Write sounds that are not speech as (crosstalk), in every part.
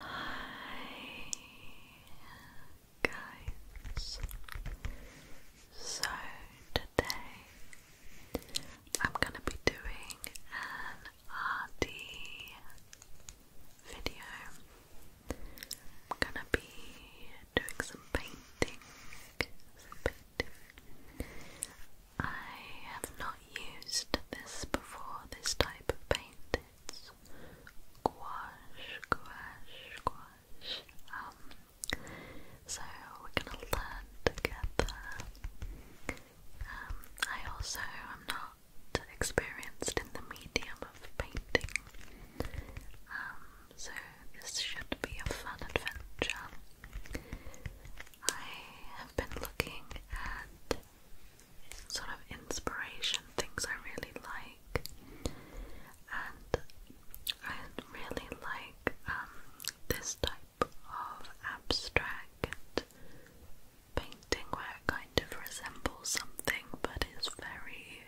Hi guys. So today I'm going to be doing an RD video. I'm going to be doing Some painting. I have not used this before, this type of paint minutes. Gouache, gouache, so we're gonna learn together. Um, I also am not experienced in the medium of painting. Um, so this should be a fun adventure. I have been looking at sort of inspiration, things I really like. And I really like um, this type of abstract painting where kind of resembles something but is very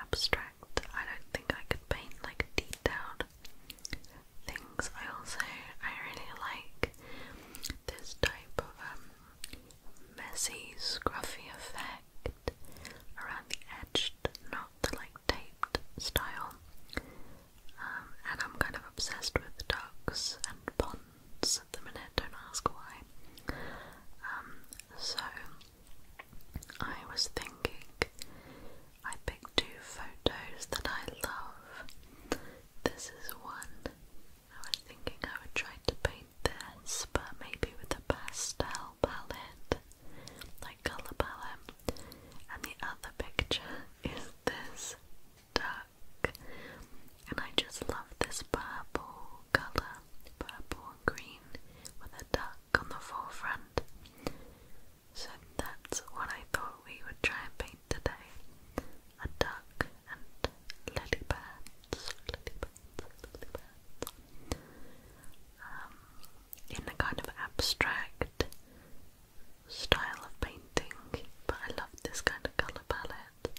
abstract. I don't think I could paint like detailed things. I also I really like this type of um, messy, scruffy effect around the edged, not the like taped style. Um, and I'm kind of obsessed with ducks and ponds at the minute, don't ask why. Um, so I was thinking I picked two photos that I love. This is one I was thinking I would try to paint this, but maybe with a pastel palette, like colour palette. And the other picture (laughs) is this duck, and I just love this purple colour, purple and green, with a duck on the forefront. So that's what I thought we would try and paint today a duck and ladypads, ladypads, ladypads. Um, in a kind of abstract style of painting, but I love this kind of colour palette.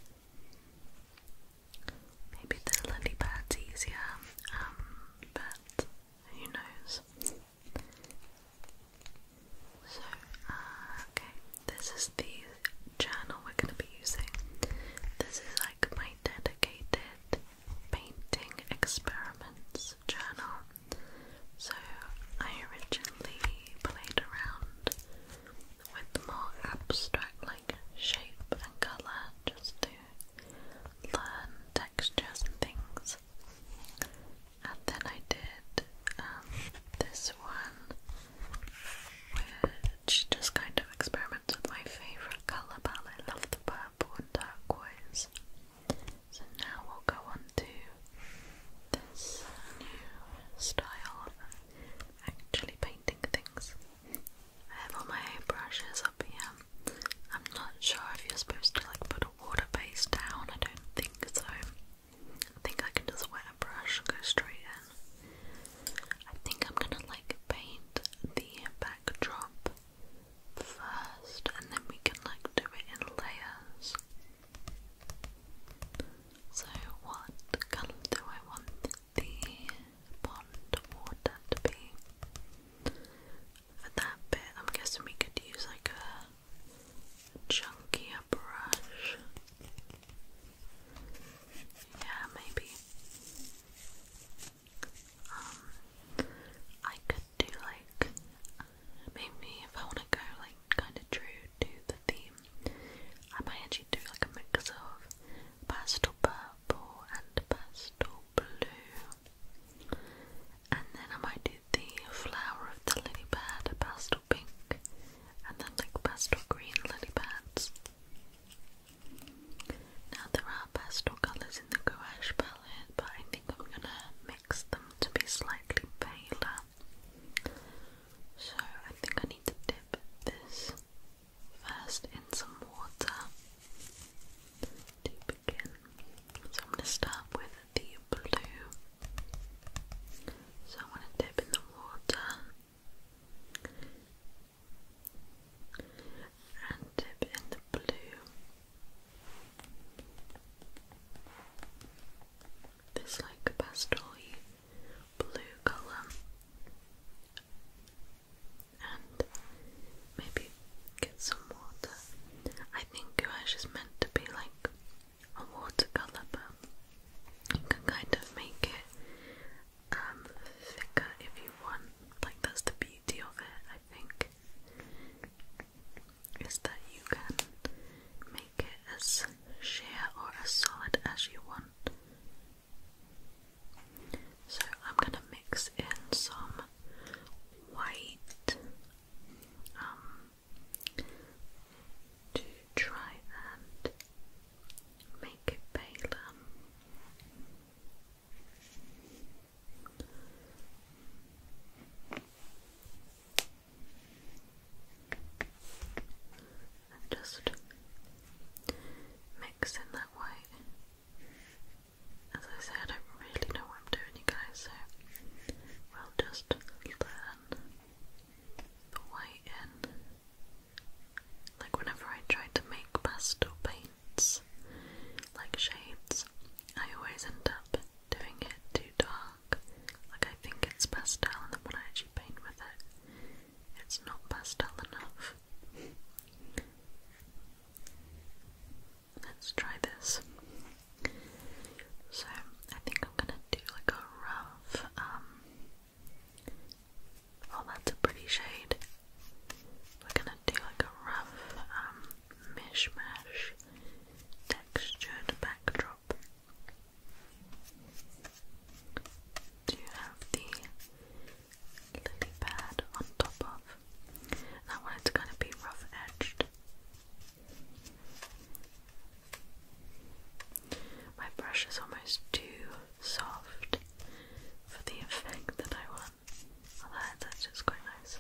Maybe the lily pad's easier, um, but who knows. So, uh, okay, this is the journal we're going to be using. This is like my dedicated painting experiments journal. So I originally played around with more abstract, like shape and colour, just to learn textures and things. And then I did um, this one which just kind of experiments with my favourite colour palette. I love the purple and turquoise. So now we'll go on to this new style of actually painting things. I have all my brushes up here. I'm not sure if you're supposed to like put a water base down, I don't think so. I think I can just wet a brush and go straight in. I think I'm gonna like paint the backdrop first and then we can like do it in layers. So what colour do I want the pond water to be? For that bit I'm guessing we could use like a chunkier brush. Yeah, maybe. Um, I could do like maybe if I want to go like kind of true to the theme, I might actually do like a mix of pastel purple and pastel blue, and then I might do the flower of the lily pad, pastel pink, and then like pastel green lily Now there are pastel colours in the gouache palette, but I think I'm gonna mix them to be slightly paler. So I think I need to dip this first in some water to begin. So I'm gonna start with the blue. So I want to dip in the water and dip in the blue. This like pastel blue colour, and maybe get some water. I think gouache is meant to be like a watercolour, but you can kind of make it um, thicker if you want. Like that's the beauty of it, I think, is that you can make it as sheer or as solid as you want. So I'm gonna mix in some white um, to try and make it pale And just mix in that white. As I say, I don't really know what I'm doing, guys, so we'll just learn the white in. Like whenever I try to make pastel paints, like shades, I always end up doing it too dark. Like I think it's pastel and when I actually paint with it, it's not pastel enough. Let's try this. So I think I'm gonna do like a rough um, Oh, that's a pretty shade. We're gonna do like a rough, um, mishmash textured backdrop. Do you have the lily pad on top of? And I want it to be rough edged. My brush is almost too soft for the effect that I want. Although that's just quite nice.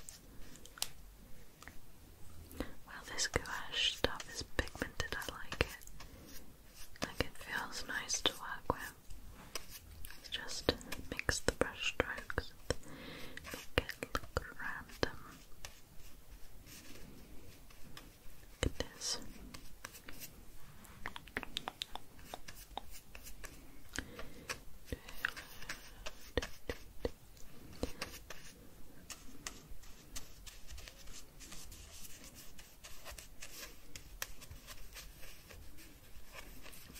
Well, this gouache stuff is pigmented, I like it. Like it feels nice to work with. just mix the brush strokes make it look random.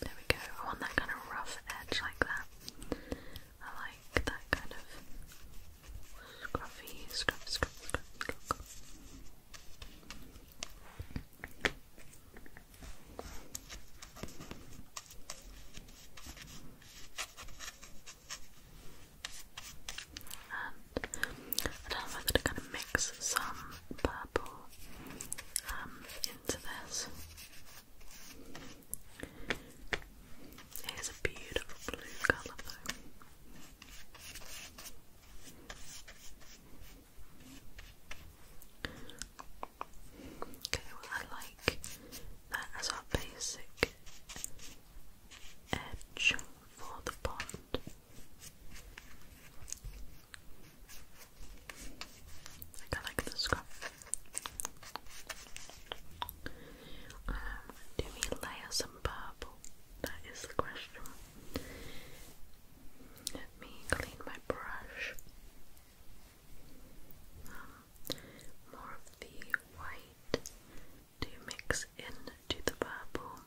There we go. I want that kind of rough edge like that. I like that kind of Scruffy, scruffy, scruffy, scruffy, I don't know whether to kind of mix some purple um, into this. It is a beautiful blue colour Okay, well I like that as our basic edge for the pond. I like the scrub. Um, do we layer some purple? That is the question. Let me clean my brush. Um, more of the white to mix into the purple,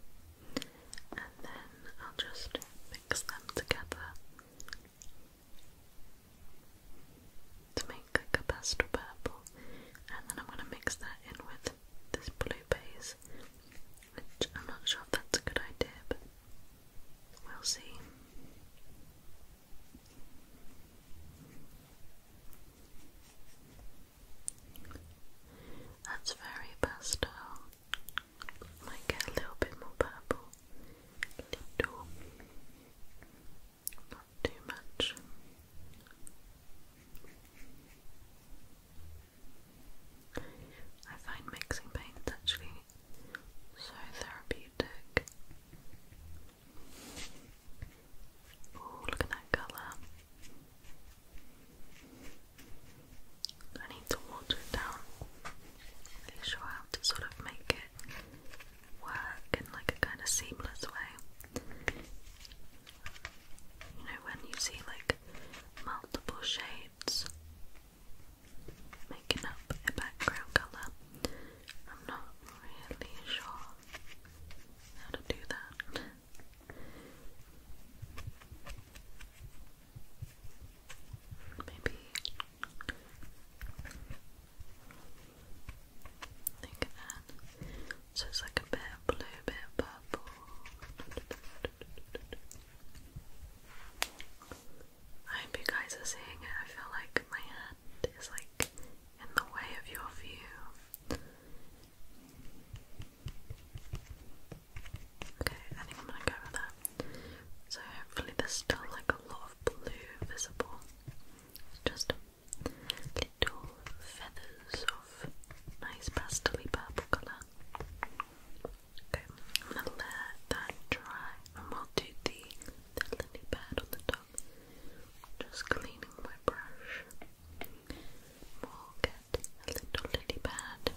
and then I'll just mix them together to make like a pastel purple, and then I'm going to mix that in with this blue base, which I'm not sure that's a good idea, but we'll see. That's very pastel. Might get a little bit more purple. Little. Not too much. I find mixing paints actually so therapeutic. Oh, look at that colour. I need to water it down. Really sure how to sort of make it work in like a kind of seamless way. You know, when you see like multiple shades making up a background colour, I'm not really sure how to do that. Maybe I think that so it's like a bit of blue, bit of purple. I hope you guys are seeing it. I feel like my hand is like in the way of your view. Okay, I think I'm gonna go with that. So hopefully there's still like a lot of blue visible. just little feathers of nice pastel purple colour. Okay, I'm gonna let that dry and we'll do the, the lily pad on the top. Just cleaning my brush. We'll get a little lily pad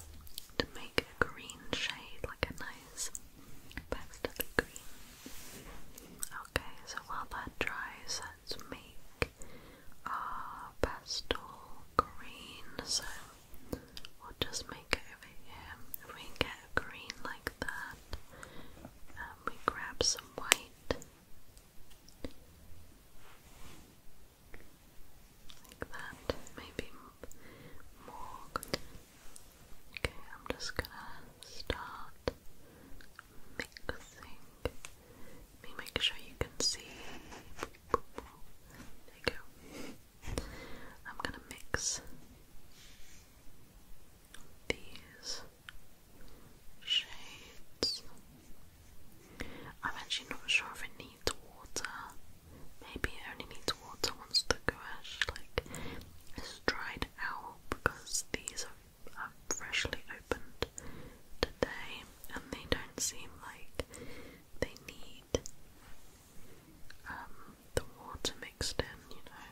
to make a green shade, like a nice pastel green. Okay, so while that dries, let's make Ah, pastel green, so we'll just make it over here. If we get a green like that, um, we grab some white like that, maybe more. Okay, I'm just gonna start mixing. Let me make sure you can see. There you go. I'm gonna mix these shades. I'm actually not sure if it needs water. Maybe it only needs water once the gouache like is dried out because these are freshly today, and they don't seem like they need um, the water mixed in, you know.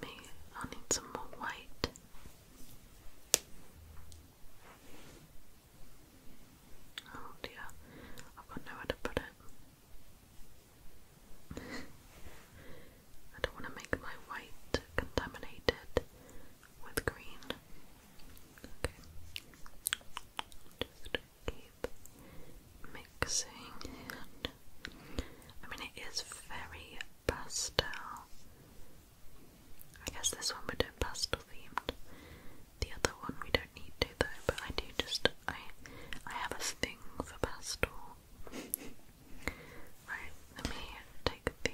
Maybe i need some more white. Oh dear, I've got nowhere to put it. I don't want to make my white contaminated with green. Okay. Just keep mixing it. I mean, it is very pastel. I guess this one we do pastel themed. The other one we don't need to though, but I do just I I have a thing for pastel right, let me take the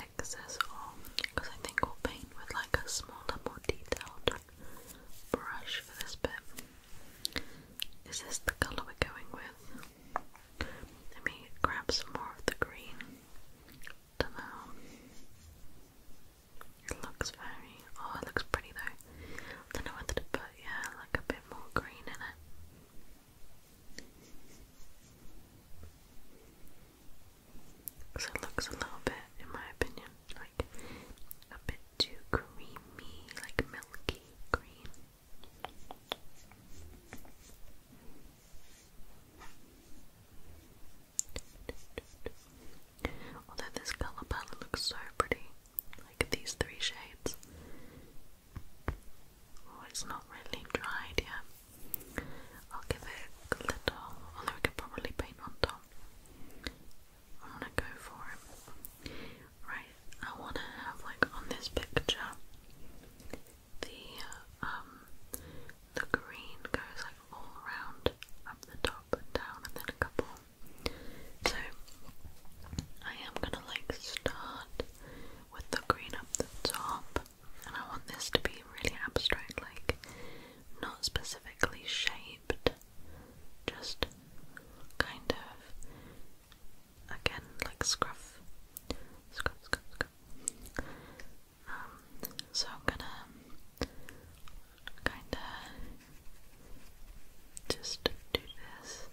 excess off because I think we'll paint with like a smaller, more detailed brush for this bit. Is this the colour we're going with? Let me grab some more of the green. Dunno. It looks very, oh, it looks pretty though. I don't know whether to put, yeah, like a bit more green in it. Because it looks a little bit, in my opinion, like a bit too creamy, like milky green. Although this colour palette looks so pretty, like these three shades. Oh, it's not really dried yet. I'll give it a little, although I could probably paint on top. I'm to go for it. Right, I wanna have like on this picture the um the green goes like all around up the top up and down and then a couple. So I am gonna like start with the green up the top and I want this to be really abstract, like not specifically shaped, just kind of again like scruff. Scruff scruff scruff. Um, so I'm gonna kinda just do this.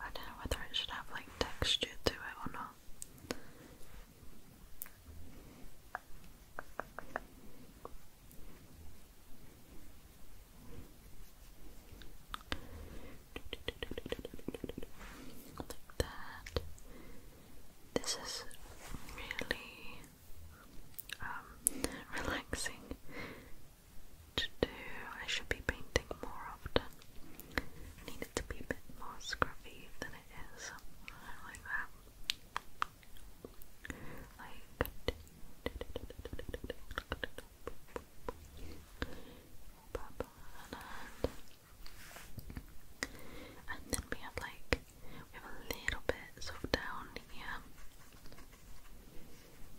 I don't know whether it should have like texture to it or not like that. This is really um, relaxing to do. I should be painting more often. I to be a bit more scruffy than it is. I like that. And then we have like we have a little bit sort down here.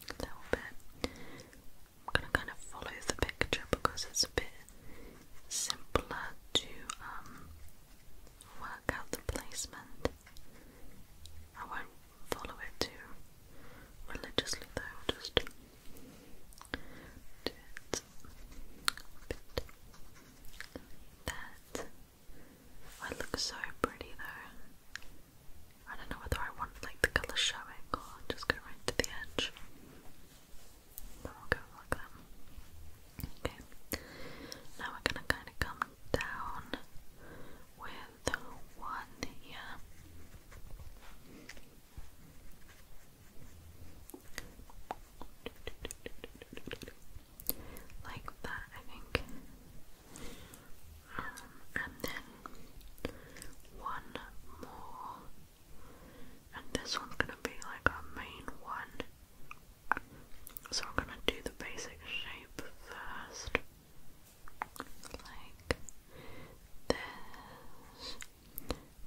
A little bit. I'm gonna kind of follow the picture because it's a bit simpler to um, work out the placement. I won't follow it too religiously though, just do it bit like that. Oh, it so pretty though. I don't know whether I want like the colour showing or just go right to the edge. But we'll go like that. Okay. Now we're gonna kinda come down with one here like that, I think. Um, and then one more, and this one's gonna be like our main one. So I'm gonna do the basic shape first, like this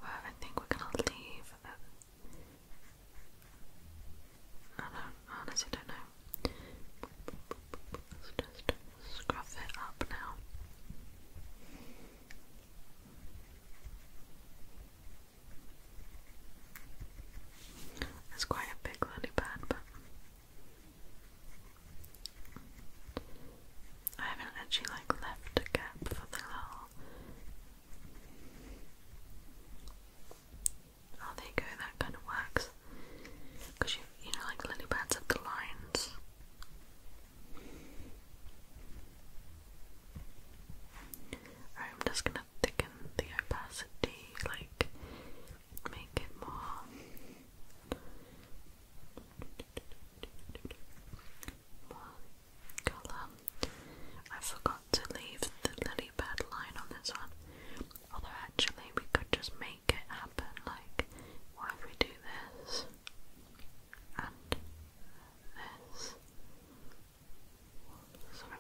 where I think we're gonna leave. Uh, I don't honestly don't know. Let's just scruff it up now. It's quite a big lily pad, but I haven't actually like left a gap for the little. Oh, there you That kind of works because you you know like lily pads up the lines. I'm just gonna thicken the opacity, like make it More colour. I forgot to leave the lily pad line on this one. Although actually we could just make it happen, like what if we do this and this?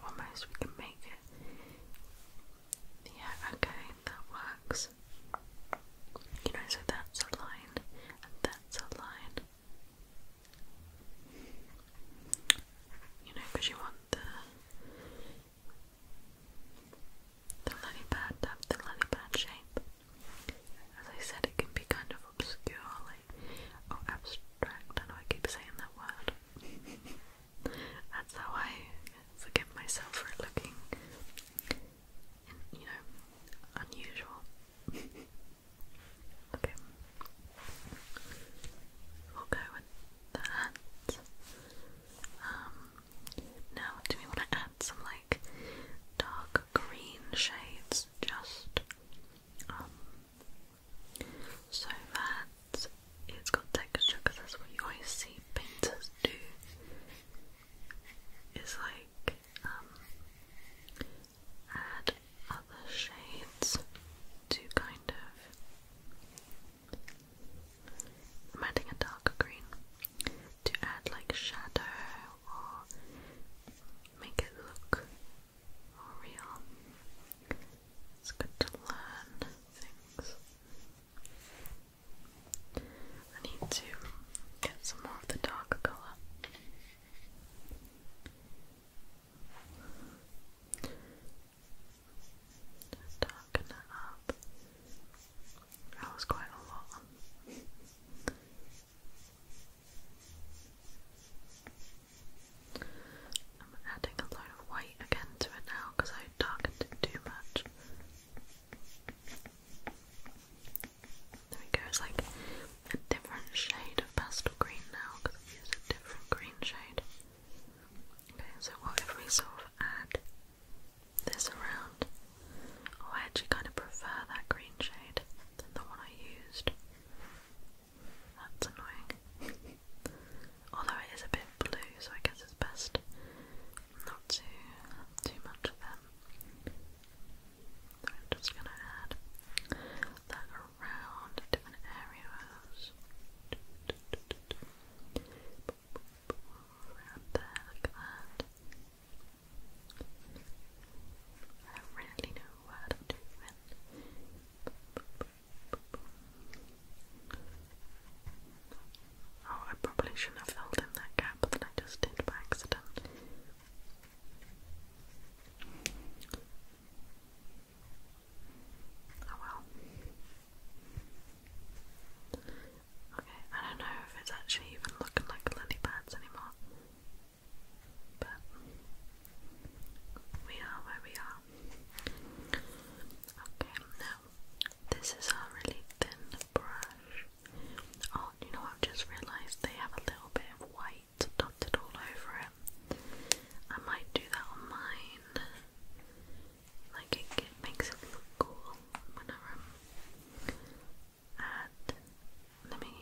almost we can make it. Yeah, okay, that works. You know, so that's a line that's a line you know, because you want the the lily the lily shape. As I said, it can be kind of obscure, like or abstract. I know I keep saying that word. (laughs) That's how I forgive myself for it looking, you know, unusual. (laughs) Okay. We'll go with that. Um, now, do we want to add some like dark green shades just um, so that it's got texture because that's what you always see painters do is like um, add other shades to kind of. i adding a darker green to add like shadow or make it look more real. It's good to learn things. I need to get some more of the dark colour. Just darken it up. That was quite a lot. I'm adding a load of white again to it now because I darkened it too much. There we go, it's like a different shade of pastel green now because we used a different green shade. Okay, so what we sort of add this around? Oh, I actually kind of prefer that green shade than the one I used. That's annoying. Although it is a bit blue, so I guess it's best not to too much of them. I'm just going to add that around different areas. Around there, look that. I really know what I'm doing. Oh, I probably shouldn't have filled in that gap that I just did by accident. Oh well. Okay, I don't know if it's actually even looking like lily pads anymore. But we are where we are. Okay, now this is a really thin brush. Oh, you know, I've just realised they have a little bit of white white dotted all over it. I might do that on mine. Like it, makes it look cool whenever i let me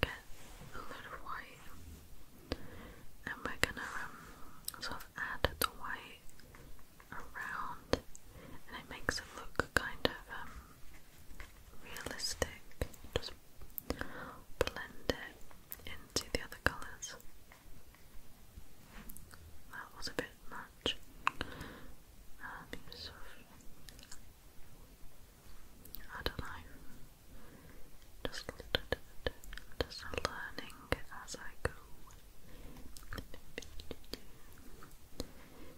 get a load of white and we're gonna um, sort of add the white around and it makes it look kind of um, realistic. Just blend it into the other colours. That was a bit much. Um, sort of, I don't know. Just, just learning as I go.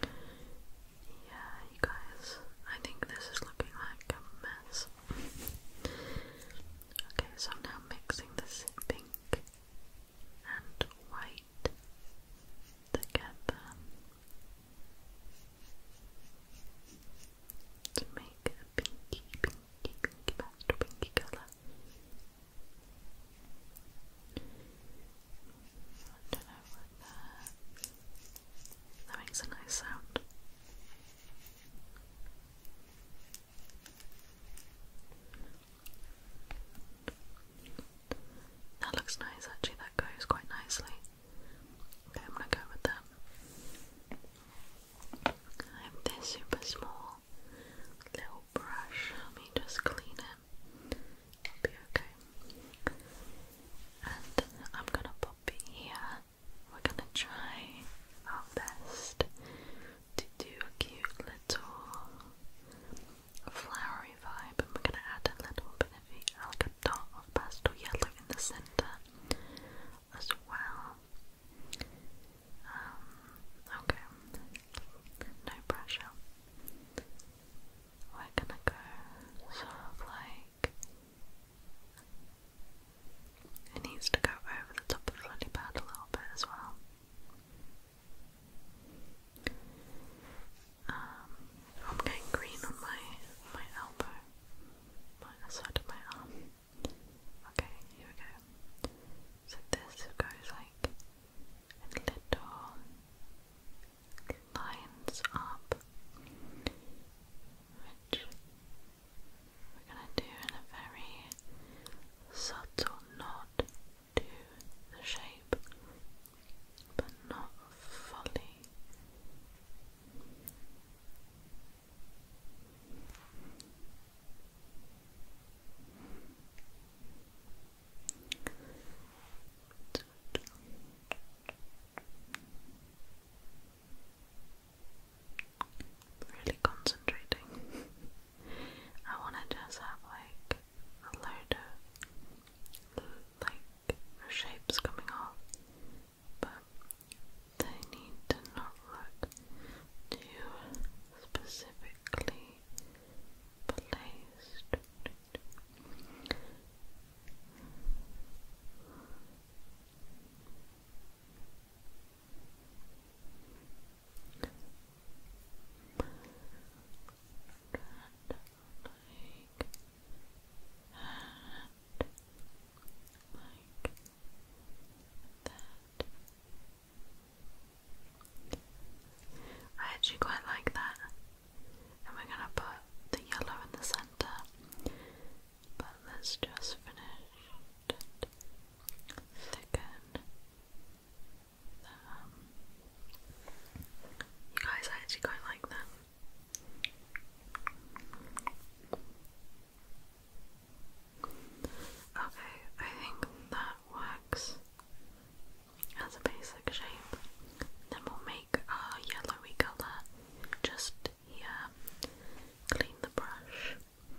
Yeah, you guys, I think this is looking like a mess. okay, so I'm now mixing this pink and white together to make a pinky, pinky, pinky, pinky, pinky colour that. That makes a nice sound. That looks nice actually, that goes quite nicely. Okay, I'm gonna go with that. I have this super small little brush, let me just clean it. It'll be okay. And I'm gonna pop it here. We're gonna try our best to do a cute little flowery vibe, and we're gonna add a little bit of like a dot of pastel yellow in the center as well. Um, okay, no pressure we're gonna go sort of like it needs to go over the top of the lily pad a little bit as well. Um, I'm getting green on my my elbow, my side of my arm. Okay, here we go. So this goes like a little lines up, which we're going to do in a very subtle nod to the shape, but not fully. Really concentrating. I want to just have like a load of like shapes coming off, but they need to not look too specifically placed like that. I actually quite like that and we're gonna put the yellow in the center. But let's just finish thicken. Um, you guys, I actually quite like them. Okay, I think that works as a basic shape. Then we'll make our yellowy colour just here. Clean the brush.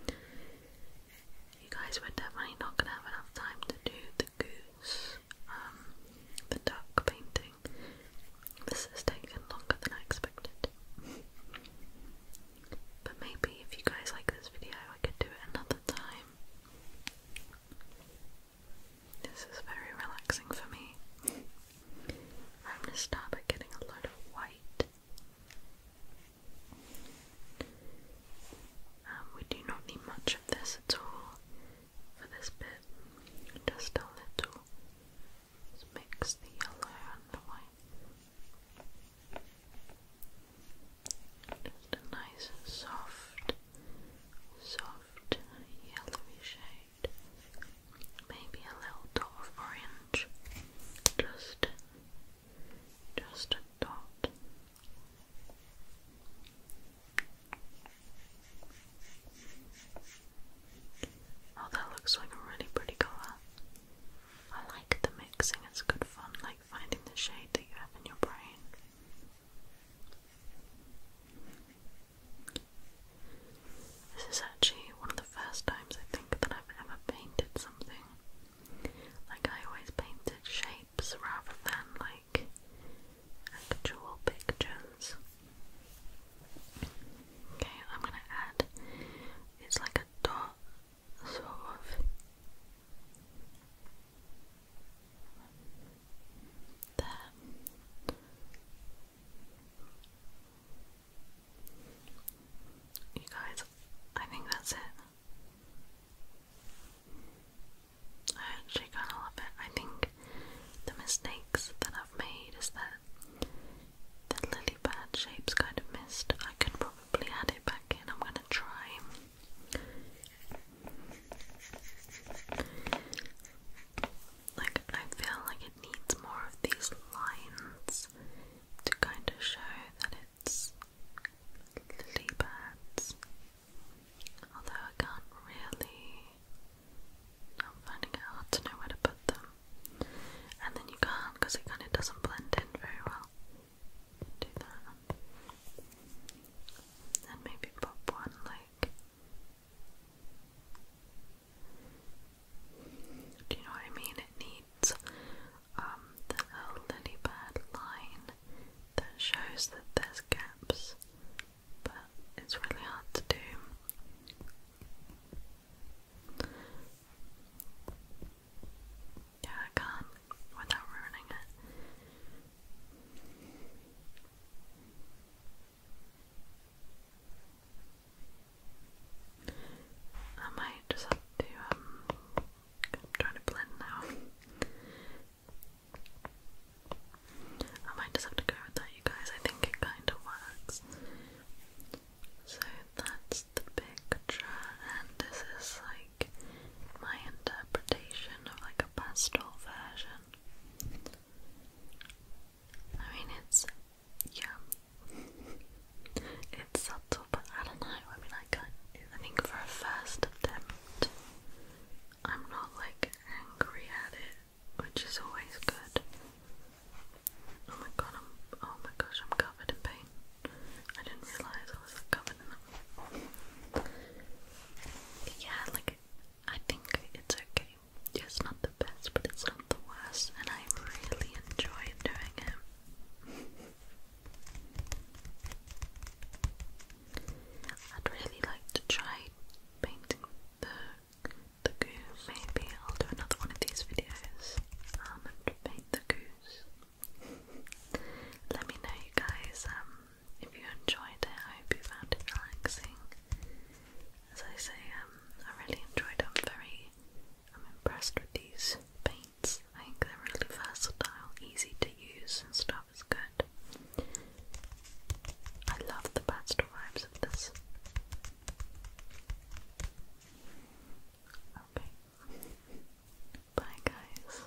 You guys were definitely not going to have enough time to do the goose, um, the duck painting. This has taken longer than I expected. But maybe if you guys like this video, I could do it another time. This is very relaxing for me. I'm gonna start by getting a load of white. Um, we do not need much of this at all for this bit, just a little. mix the yellow and the white. Just a nice soft soft yellowy shade, maybe a little dot of orange, just, just a dot. Oh, that looks like a really pretty colour. I like the mixing, it's good fun, like finding the shade that you have in your brain this is actually one of the first times I think that I've ever painted something. Like, I always painted shapes rather than like actual pictures. Okay, I'm gonna add it's like a dot sort of there. You guys, I think that's it. I actually kind of love it. I think the mistakes that I've made is that the lily pad shape's kind of missed. I could probably add it back in. I'm going to try. Like, I feel like it needs more of these lines to kind of show that it's lily pads. Although I can't really. I'm finding it hard to know where to put them. And then you can't because it kind of doesn't blend in very well. Do that. And maybe pop one like do you know what I mean? It needs um, the line that shows that there's gaps, but it's really hard to do. Yeah, I can't without ruining it. I might just have to, um, trying to blend now. I might just have to go with that, you guys. I think it kind of works. So that's the picture, and this is like my interpretation of like a pastel version. I mean, it's yeah, it's subtle, but I don't know. I mean, I think for a first attempt, I'm not like angry at it, which is always good. Oh my god! I'm oh my gosh! I'm covered in paint. I didn't realize I was covered in them. Yeah, like I think it's okay. It's not the best, but it's not the worst, and I really enjoy doing it. I'd really like to try painting the the goose. Maybe I'll do another one of these videos um, and paint the goose. Let me know, you guys. Um, if you enjoyed it, I hope you found it relaxing. As I say, um, I really enjoyed it. I'm very, I'm impressed with these paints. I think they're really versatile, easy to use, and stuff is good. I love the pastel vibes of this. Okay. Bye, guys.